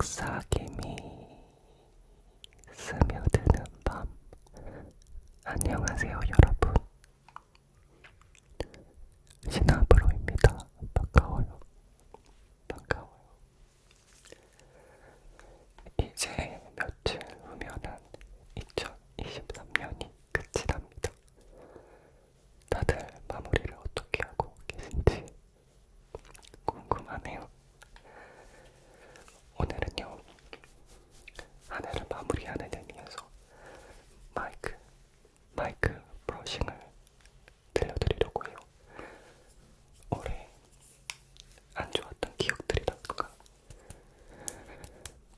속삭임이 스며드는 밤 안녕하세요 여러분 신하브로입니다 반가워요 반가워요 이제 며칠 후면은 2023년이 끝이 납니다 다들 마무리를 어떻게 하고 계신지 궁금하네요. 오늘은요, 한 해를 마무리하는 의미에서 마이크, 마이크 브러싱을 들려드리려고 해요. 올해 안 좋았던 기억들이라든가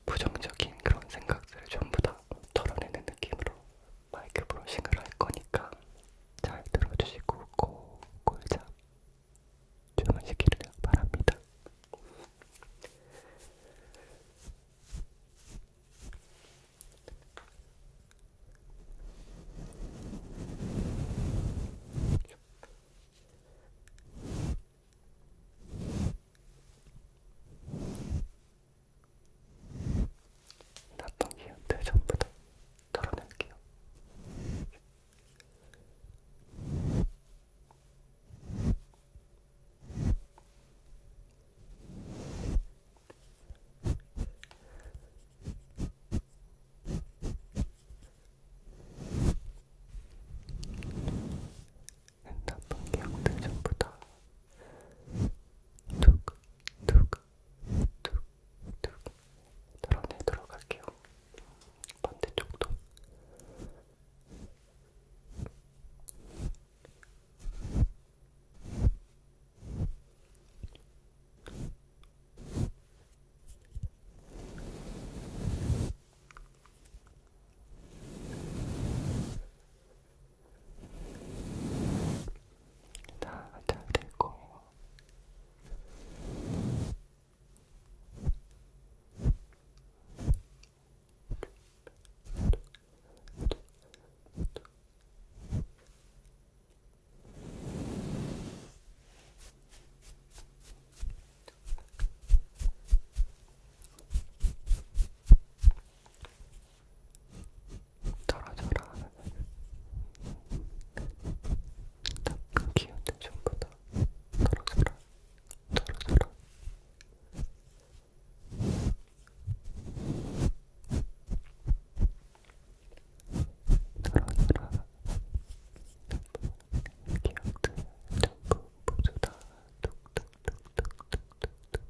부정적인 그런 생각들을 전부 다 털어내는 느낌으로 마이크 브러싱을 할 거니까 잘 들어주시고 골골잡 주문시키를 바랍니다. 났던 기운들 전부 다 털어낼게요. 나쁜 기억들 전부 다 툭, 툭, 툭, 툭 털어내도록 할게요. 반대쪽도. 자, 다잘될 거예요. 떨어져라. 나쁜 그 기운들 전부 다 떨어져라. 떨어져라. 떨어져라. 기억들 전부 모두 다 뚝뚝뚝뚝뚝뚝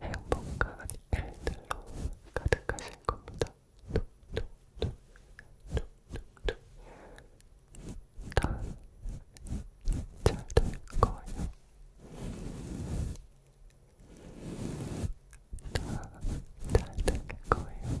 행복한 일들로 가득하실 겁니다. 다잘될 거예요. 다잘될 거예요.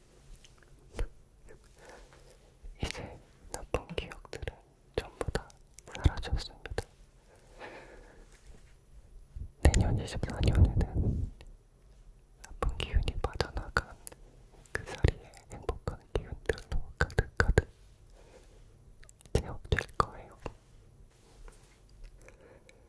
이제 나쁜 기억들은 전부 다 사라졌습니다. 내년 24년에는 나쁜 기운이 빠져나간 그 자리에 행복한 기운들로 가득가득 채워질 거예요.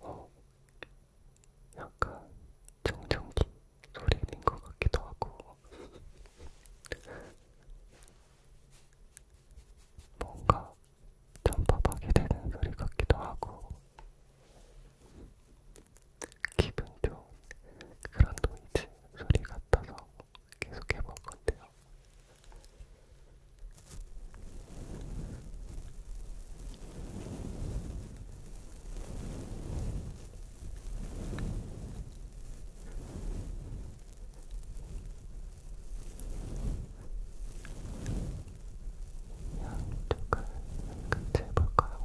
어, 약간 정전기 소리인 것 같기도 하고, 뭔가 전파박이 되는 소리 같기도 하고, 기분 좋은 그런 노이즈 소리 같아서 계속 해볼 건데요. 양쪽을 같이 해볼까요?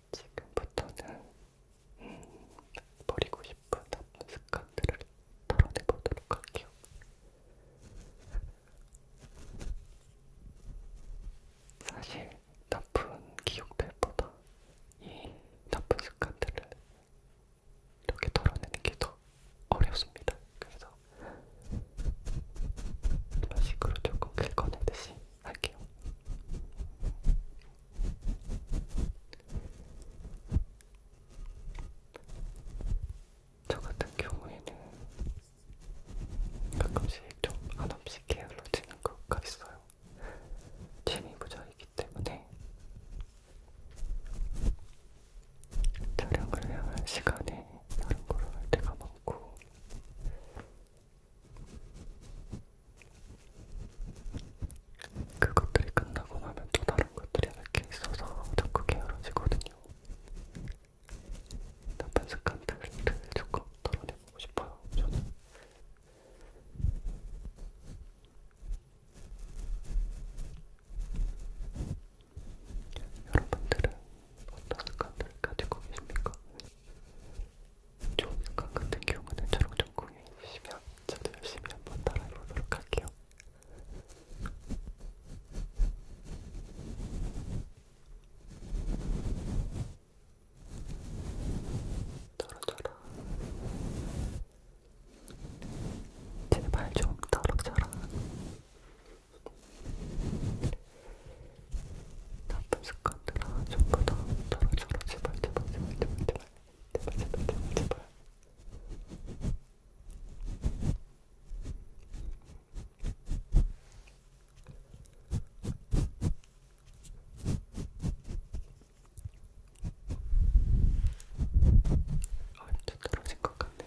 지금부터는 음, 버리고 싶은 나쁜 습관들을 털어내보도록 할게요. 사실 나쁜 기억들보다 이 나쁜 습관들을 이렇게 털어내는 게 더 어렵습니다. 그래서 이런 식으로 조금 긁어내듯이 할게요. 저 같은 경우에는 가끔씩 좀 한없이 게을러지는 것가 있어요. 재미부자이기 때문에 촬영을 해야 할 시간에 다른 걸 할 때가 많고 그것들이 끝나고 나면 또 다른 것들이 몇개 있어서 자꾸 게으러지거든요. 나쁜 습관들을 조금 덜어내보고 싶어요. 저는. 여러분들은 어떤 감을 가지고 계십니까? 좋은 감 같은 경우는 저랑 좀 공유해주시면 저도 열심히 한번 따라해보도록 할게요. 떨어져라. 제발 좀 떨어져라. 나쁜 습관들아 전부 다 저러저러 제발 제발 제발 제발 제발 제발 제발 제발 제발 아, 이제 떨어진 것 같네요.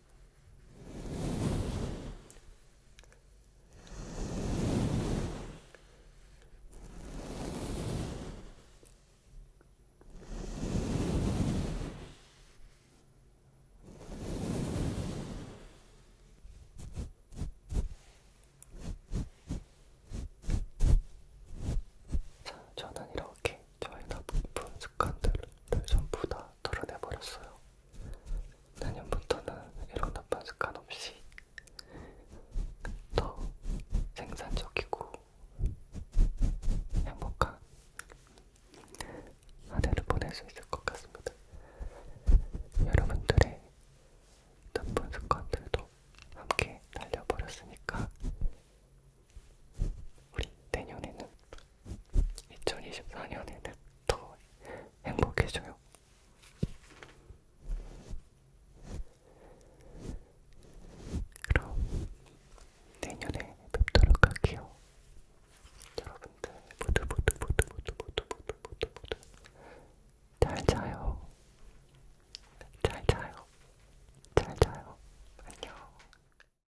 자, 저는 이렇게 저희가 부푼 습관들을 전부 다 털어내버렸어요. 내년부터는 이런 나쁜 습관 없이 더 생산적이고 행복한 한 해를 보낼 수 있을 것 같습니다. 여러분들의 나쁜 습관들도 함께 날려버렸으니까 우리 내년에는 2024년에는 더 행복해져요. 그럼 내년에 뵙도록 할게요. 여러분들 모두 모두 모두 모두 모두 모두 모두 모두 잘 자요. 잘 자요. 잘 자요. 안녕.